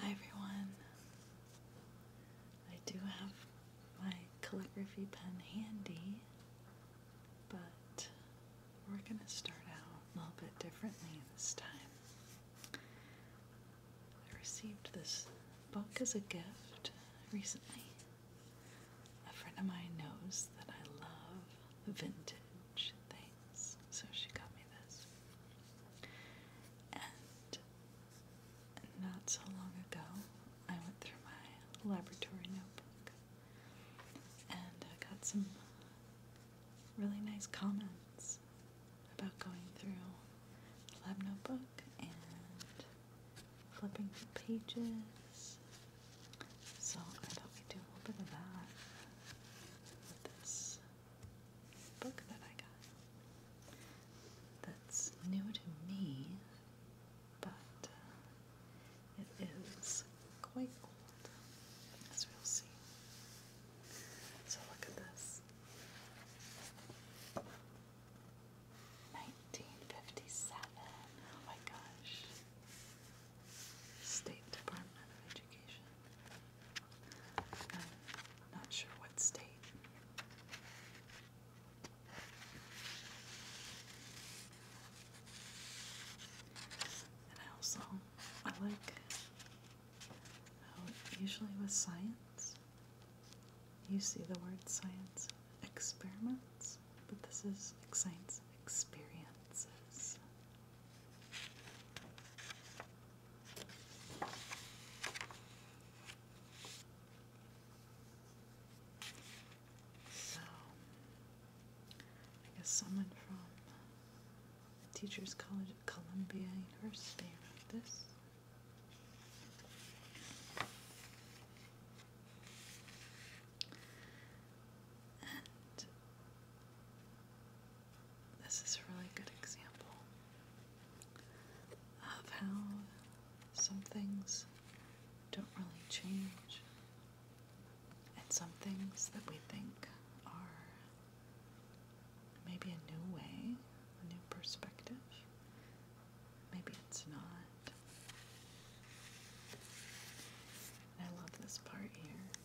Hi everyone. I do have my calligraphy pen handy, but we're going to start out a little bit differently this time. I received this book as a gift recently. A friend of mine knows that I love vintage things so she got me this. And not so long ago, I went through my laboratory notebook and I got some really nice comments about going through the lab notebook and flipping through pages so I thought we'd do a little bit of that with this book that I got. That's new to me, but uh, it is quite old, as we'll see. So look at this. 1957. Oh my gosh. State Department of Education. I'm not sure what state. And also, I like usually with science, you see the word science experiments, but this is science experiences. So, I guess someone from the Teachers College of Columbia University wrote this. This is a really good example of how some things don't really change, and some things that we think are maybe a new way, a new perspective, maybe it's not. I love this part here.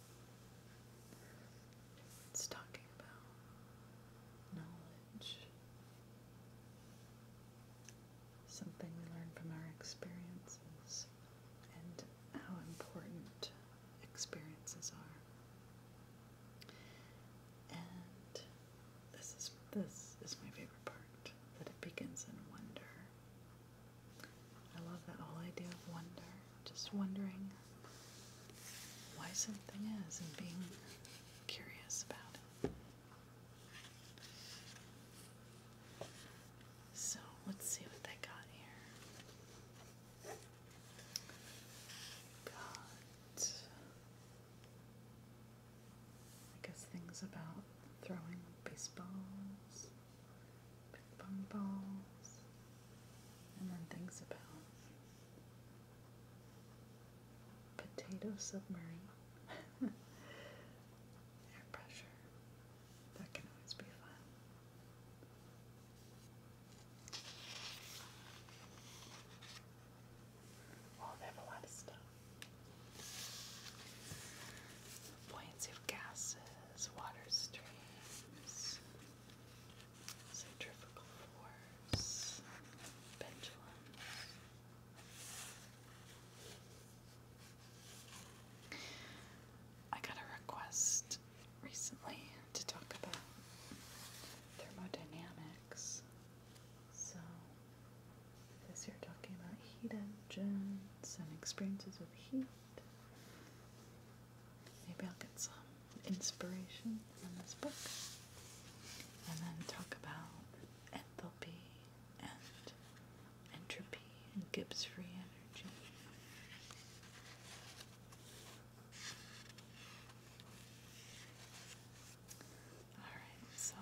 It's talking about knowledge, something we learn from our experiences, and how important experiences are. And this is this is my favorite part that it begins in wonder. I love that whole idea of wonder. Just wondering why something is and being curious about it. So let's see what they got here. Got, I guess, things about throwing baseballs. Big bum And then things about potato submarine. Air pressure. That can always be fun. Well, they have a lot of stuff. Buoyancy of gases places, water streams, centrifugal force, pendulums. I got a request recently to talk about thermodynamics. So, this you're talking about heat engines and experiences with heat. Maybe I'll get some inspiration from this book and then talk about entropy and Gibbs free energy. Alright, so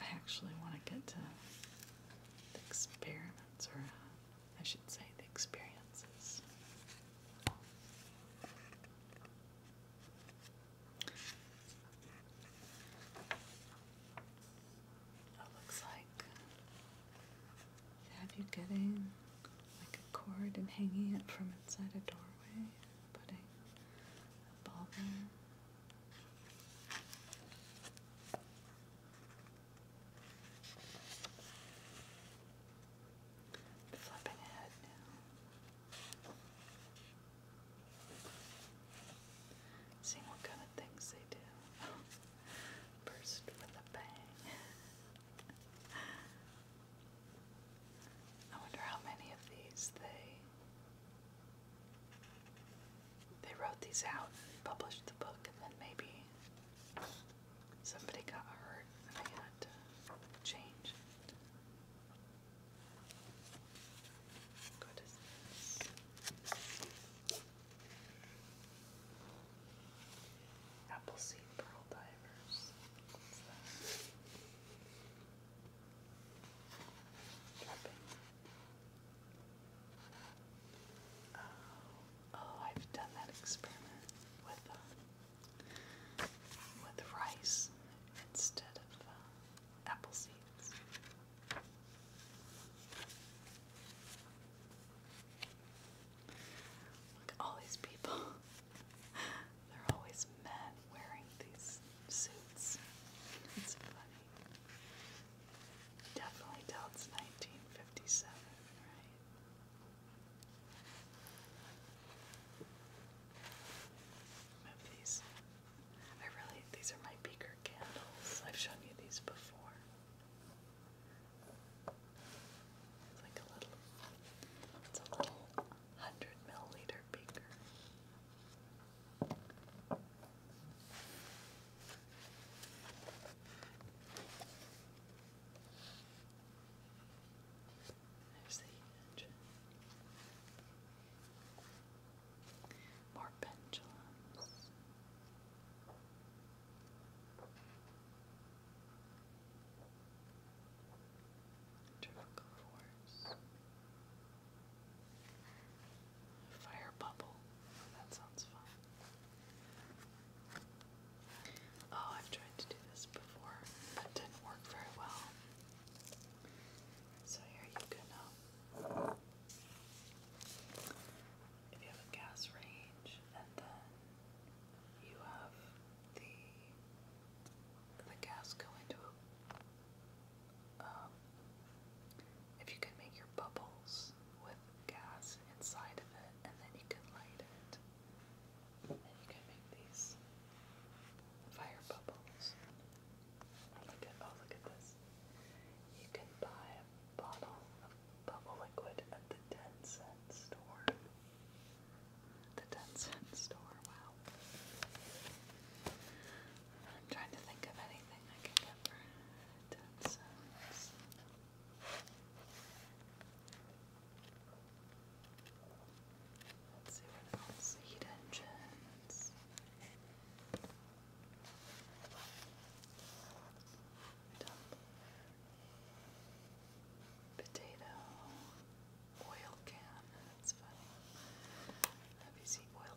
I actually want to get to experiments or I should say, the experiences. It looks like have you getting like a cord and hanging it from inside a doorway, putting a ball there. Flipping ahead now. Seeing what kind of things they do. Burst with a bang. I wonder how many of these they they wrote these out and published the book, and then maybe somebody got hurt and they had to change. What is Appleseed Pearl Divers. What's that? Oh, oh, I've done that experiment with uh, with rice instead of uh, apple seeds. Look at all these people. They're always men wearing these suits. It's funny. Definitely till 1957, right? Move I really, these are my beaker candles. I've shown you these before. It's like a little, it's a little 100 milliliter beaker. There's the engine. More pendulums. Vertical force. Fire bubble. that sounds fun. Oh, I've tried to do this before, but it didn't work very well. So here you go If you have a gas range, and then you have the the gas go into a um, if you can make your bubbles with gas inside of it, and then you can light it. And you can make these fire bubbles. oh, look at this. You can buy a bottle of bubble liquid at the ten cent store. The ten cent store. Wow. I'm trying to think of anything I can get for ten cents. Let's see what else. Heat engines. Potato. Oil can. That's funny. Have you oil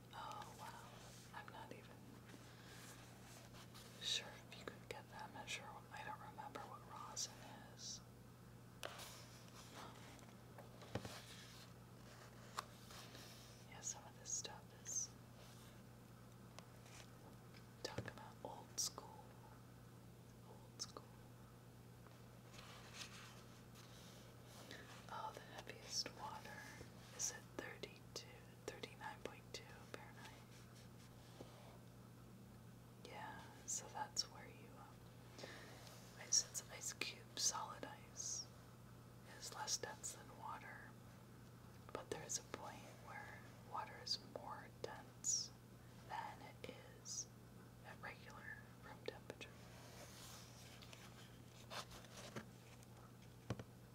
Oh wow, I'm not even sure if you could get that. I'm not sure, I don't remember what rosin is. Yeah, some of this stuff is talking about old school. Old school. Oh, the heaviest water. Is it 32? 39.2 Fahrenheit. Yeah, so that's where you, um, ice cube solid ice is less dense than water, but there is a point where water is more dense than it is at regular room temperature.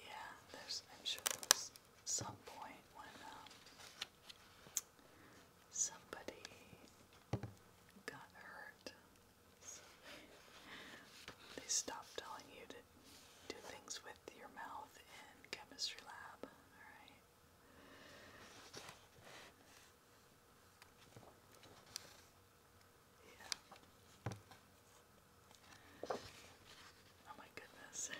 Yeah, there's, I'm sure there some point when um, somebody got hurt. they stopped telling you to do things with your mouth in chemistry lab, alright? Yeah. Oh my goodness.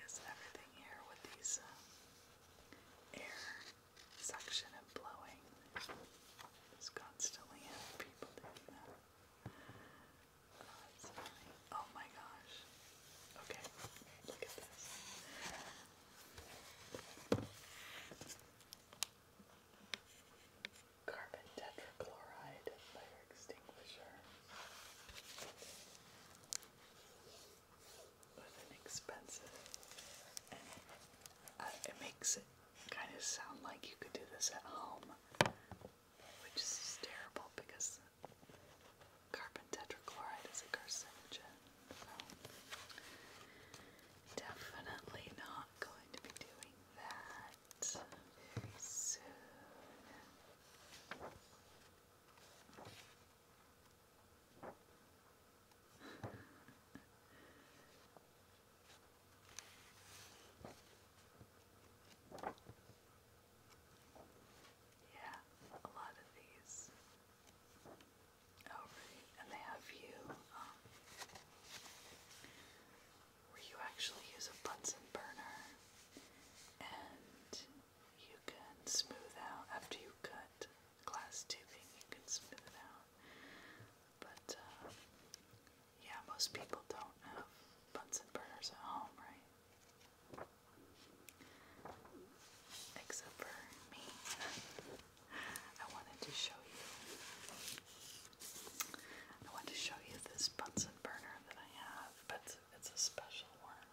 Is everything here with these uh, air suction and blowing? It's constantly have people doing that. That's fine. Oh my gosh. Okay, look at this. Carbon tetrachloride fire extinguisher. With an And it makes it kind of sound like you could do this at home which is terrible because carbon tetrachloride is a carcinogen. definitely not going to be doing that very soon. Yeah, a lot of these. Oh, right. And they have you, um, you actually use a Bunsen burner and you can smooth out after you cut glass tubing, you can smooth it out. But, uh, yeah, most people don't have Bunsen burners at home, right? Except for me. I wanted to show you. I want to show you this Bunsen burner that I have, but it's a special one.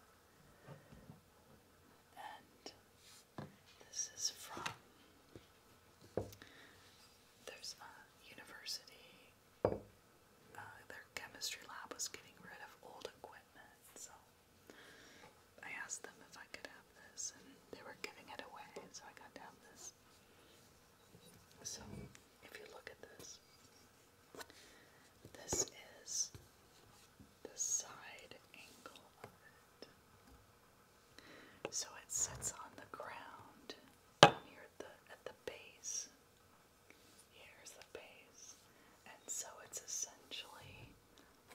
And this is from. There's a university uh, their chemistry lab was getting rid of old equipment, so I asked them if I could have this, and they were giving it away, so I got to have this. So, if you look at this, this is the side angle of it. So it sits on the ground here at the, at the base Here's the base. And so it's essentially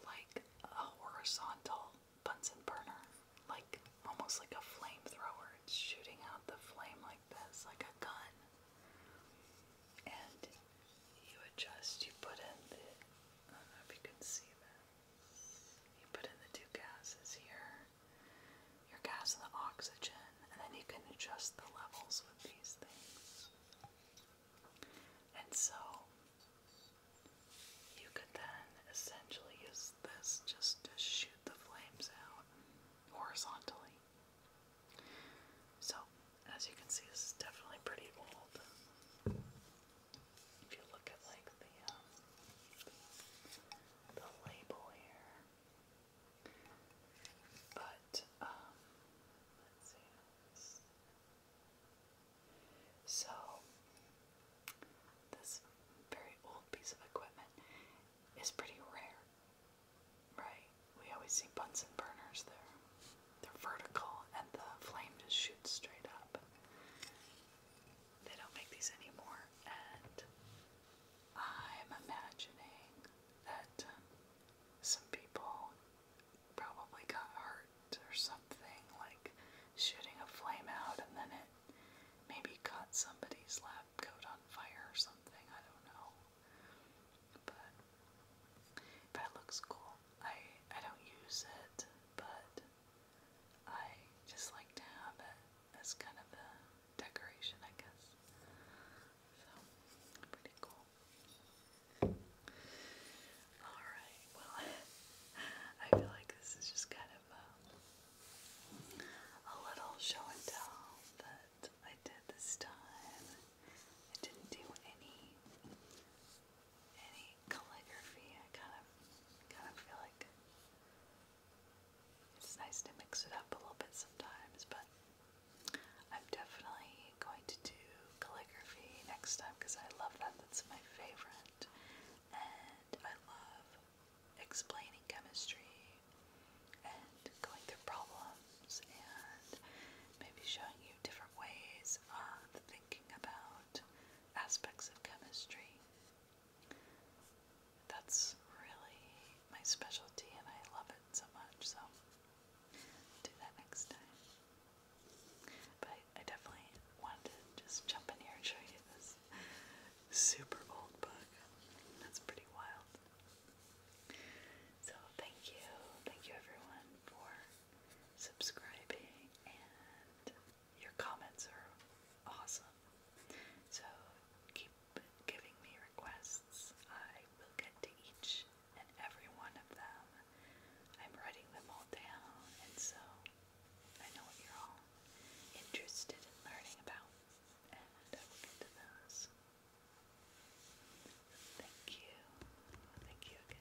like a horizontal Bunsen burner, like almost like a flamethrower. It's shooting out the flame like this, like a gun. And you adjust, you put in the, I don't know if you can see that. You put in the two gases here, your gas and the oxygen, and then you can adjust the levels with these things. And so you could then essentially use this just to shoot the flames out horizontally. So, as you can see, this is definitely pretty old. If you look at like the um, the label here, but, um, So, this very old piece of equipment is pretty rare, right? We always see Bunsen burners there. They're vertical and the flame just shoots straight up. They don't make these anymore, and I'm imagining that um, some people probably got hurt or something, like shooting a flame out and then it maybe caught somebody's lab coat on fire or something. I don't know. But but it looks cool. I I don't use it, but I just like to have it as kind of a decoration, I guess. So, pretty cool. Alright, well, I feel like this is just kind of um, a little show and tell that I did this time. I didn't do any any calligraphy. I kind of kind of feel like it's nice to mix it up a little bit sometimes, but I'm definitely going to do calligraphy next time because I love that. That's my favorite. And I love explaining chemistry and going through problems and maybe showing you different ways of thinking about aspects of chemistry. That's really my specialty and I love it so much, so do that next time. But I definitely wanted to just jump in here and show you this super old book. That's pretty wild. So thank you. Thank you everyone for subscribing and your comments are awesome. So keep giving me requests. I will get to each and every one of them. I'm writing them all down, and so I know what you're all interested in learning about, and I will get to those. Thank you. Thank you again.